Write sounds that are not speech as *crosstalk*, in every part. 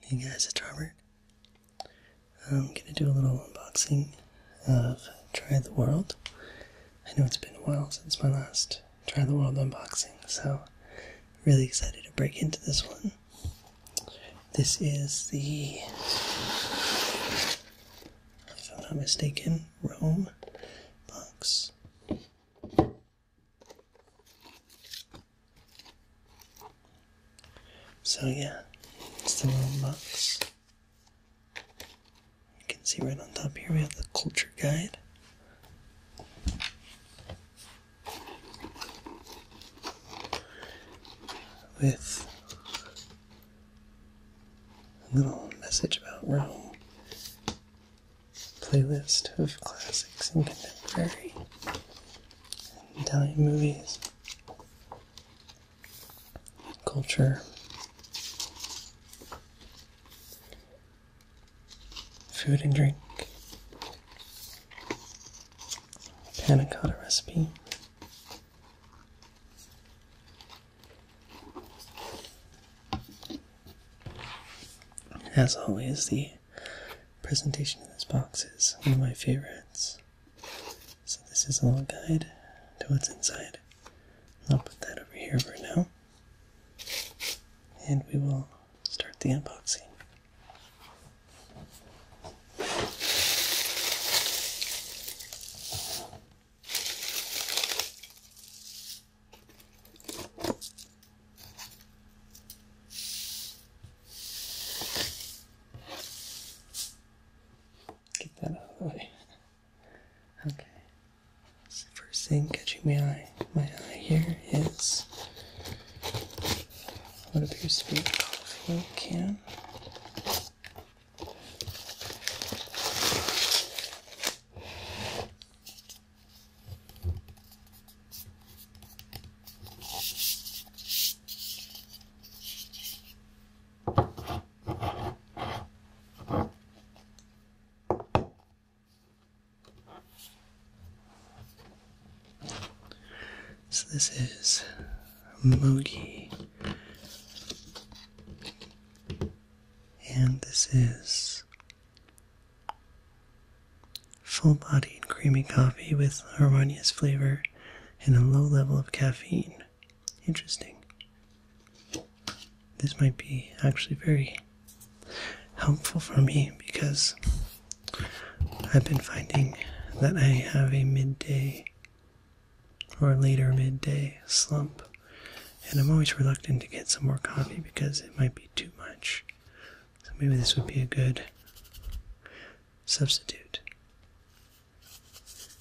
Hey guys, it's Robert. I'm gonna do a little unboxing of Try the World. I know it's been a while since my last Try the World unboxing, so really excited to break into this one. This is the, if I'm not mistaken, Rome box. So yeah, it's the little box. You can see right on top here we have the culture guide. With a little message about Rome playlist of classics and contemporary Italian movies, culture, food and drink, panna recipe. As always, the presentation in this box is one of my favorites. So this is a little guide to what's inside. I'll put that over here for now. And we will start the unboxing. Get that out of the way. Okay. So the first thing catching my eye, my eye here is what appears to be a coffee can. So this is Mogi, and this is Full-bodied, creamy coffee with harmonious flavor and a low level of caffeine. Interesting. This might be actually very helpful for me because I've been finding that I have a midday or later midday slump, and I'm always reluctant to get some more coffee because it might be too much. So maybe this would be a good substitute.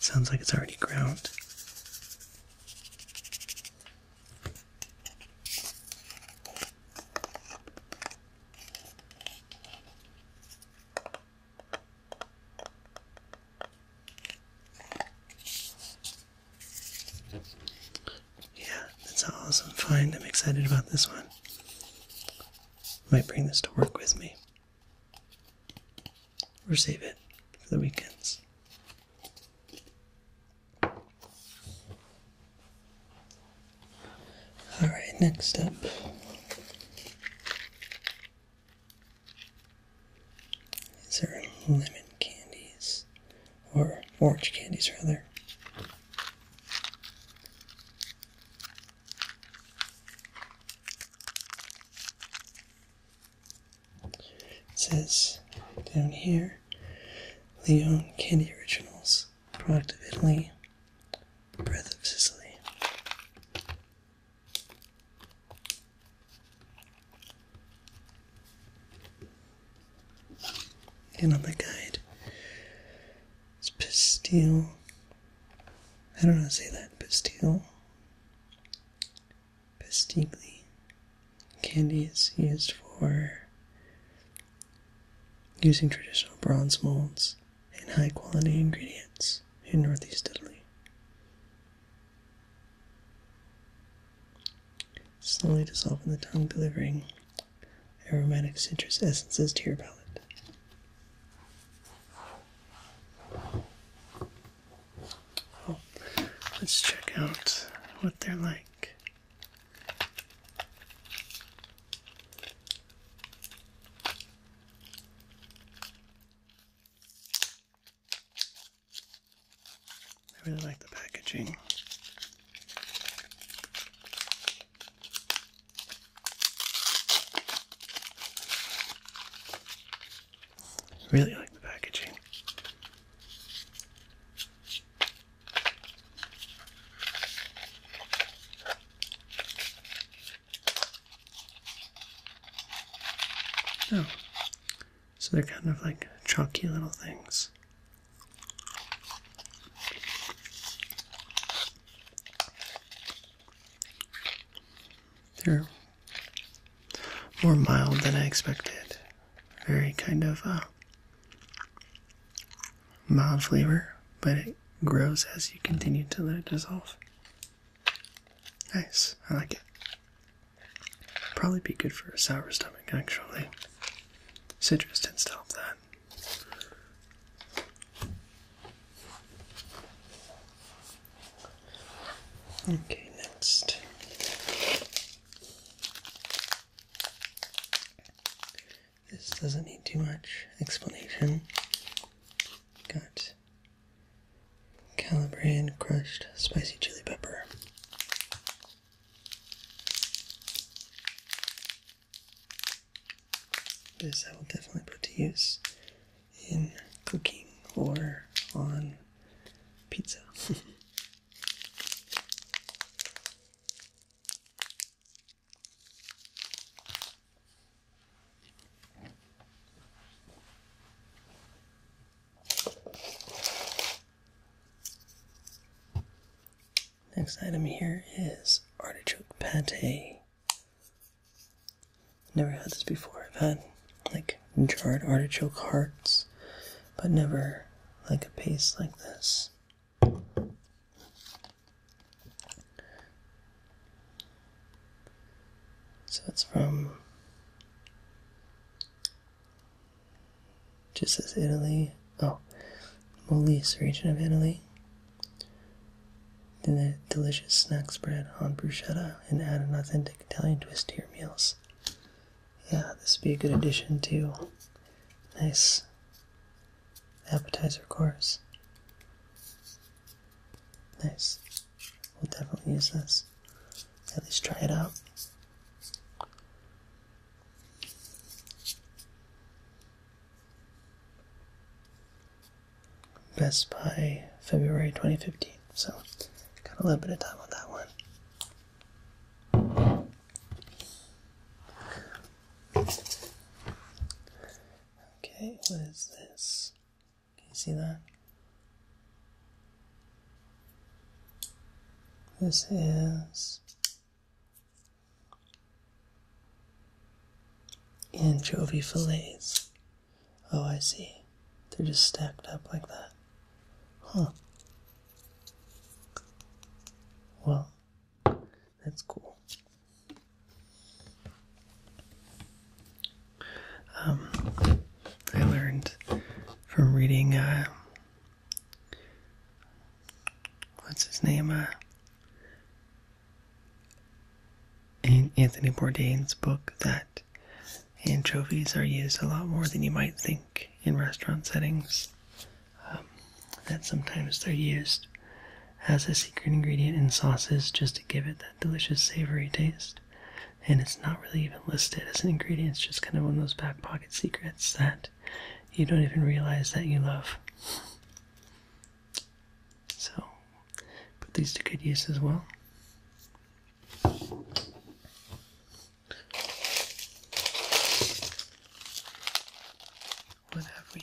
sounds like it's already ground. Yeah, that's an awesome find. I'm excited about this one. Might bring this to work with me. Or save it for the weekends. Alright, next up. These are lemon candies or orange candies rather. It says down here, Leon Candy Originals, product of Italy, breath of Sicily. And on the guide, it's pastille. I don't know how to say that. Pastille. pastiglie Candy is used for using traditional bronze molds and high quality ingredients in northeast Italy slowly dissolve in the tongue, delivering aromatic citrus essences to your palate. Oh, let's check out what they're like. I really like the packaging. Really like the packaging. Oh, so they're kind of like chunky little things. They're more mild than I expected. Very kind of uh, mild flavor, but it grows as you continue to let it dissolve. Nice, I like it. Probably be good for a sour stomach, actually. Citrus tends to help that. Okay, next. This doesn't need too much explanation. Got Calabrian crushed spicy chili pepper. This I will definitely put to use in cooking or on pizza. *laughs* Next item here is artichoke pate. Never had this before. I've had like jarred artichoke hearts, but never like a paste like this. So it's from just as Italy. Oh, Molise region of Italy. Then a delicious snack spread on bruschetta and add an authentic Italian twist to your meals. Yeah, this would be a good addition to nice appetizer course. Nice. We'll definitely use this. At least try it out. Best by February 2015. So, got a little bit of time on that one. Okay, what is this? Can you see that? This is anchovy fillets. Oh, I see. They're just stacked up like that. Huh. Well, that's cool. Um, I learned from reading, uh, what's his name? Uh, Anthony Bourdain's book that anchovies are used a lot more than you might think in restaurant settings. Um, that sometimes they're used as a secret ingredient in sauces just to give it that delicious savory taste and it's not really even listed as an ingredient. It's just kind of one of those back pocket secrets that you don't even realize that you love. So, put these to good use as well. What have we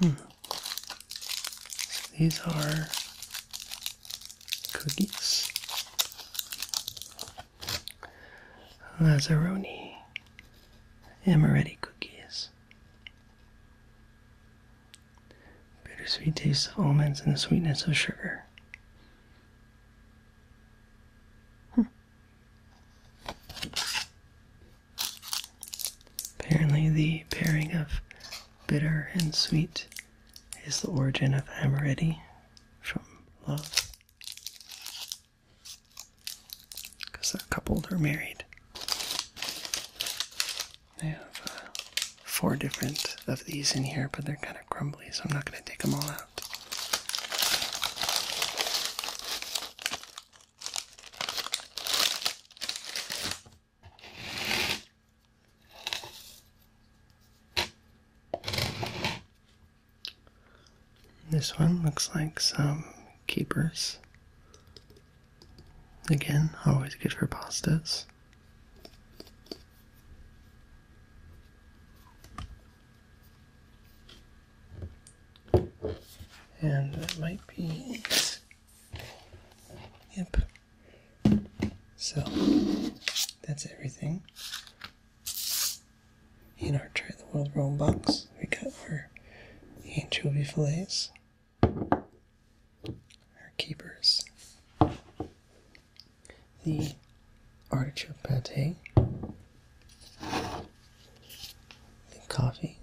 Hmm. these are cookies. Lazzaroni amaretti cookies. Bittersweet taste of almonds and the sweetness of sugar. Hmm. Apparently, the pairing of bitter and sweet is the origin of amaretti from love. Because they're or married. They have uh, four different of these in here, but they're kind of crumbly, so I'm not going to take them all out. This one looks like some keepers. Again, always good for pastas. And that might be it. Yep. So that's everything. In our Try the World roll box, we got our anchovy fillets, our capers, the artichoke pate, the coffee,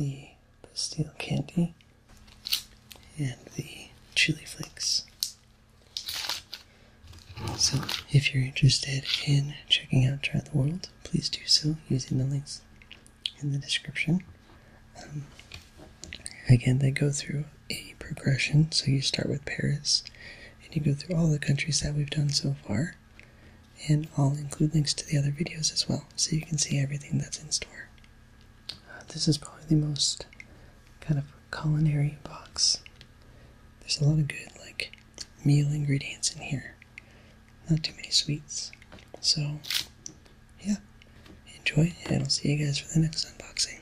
the pastille candy, and the chili flakes. So, if you're interested in checking out Try the World, please do so using the links in the description. Um, again, they go through a progression. So, you start with Paris, and you go through all the countries that we've done so far. And I'll include links to the other videos as well, so you can see everything that's in store. Uh, this is probably the most kind of culinary box. There's a lot of good, like, meal ingredients in here. Not too many sweets. So, yeah. Enjoy, and I'll see you guys for the next unboxing.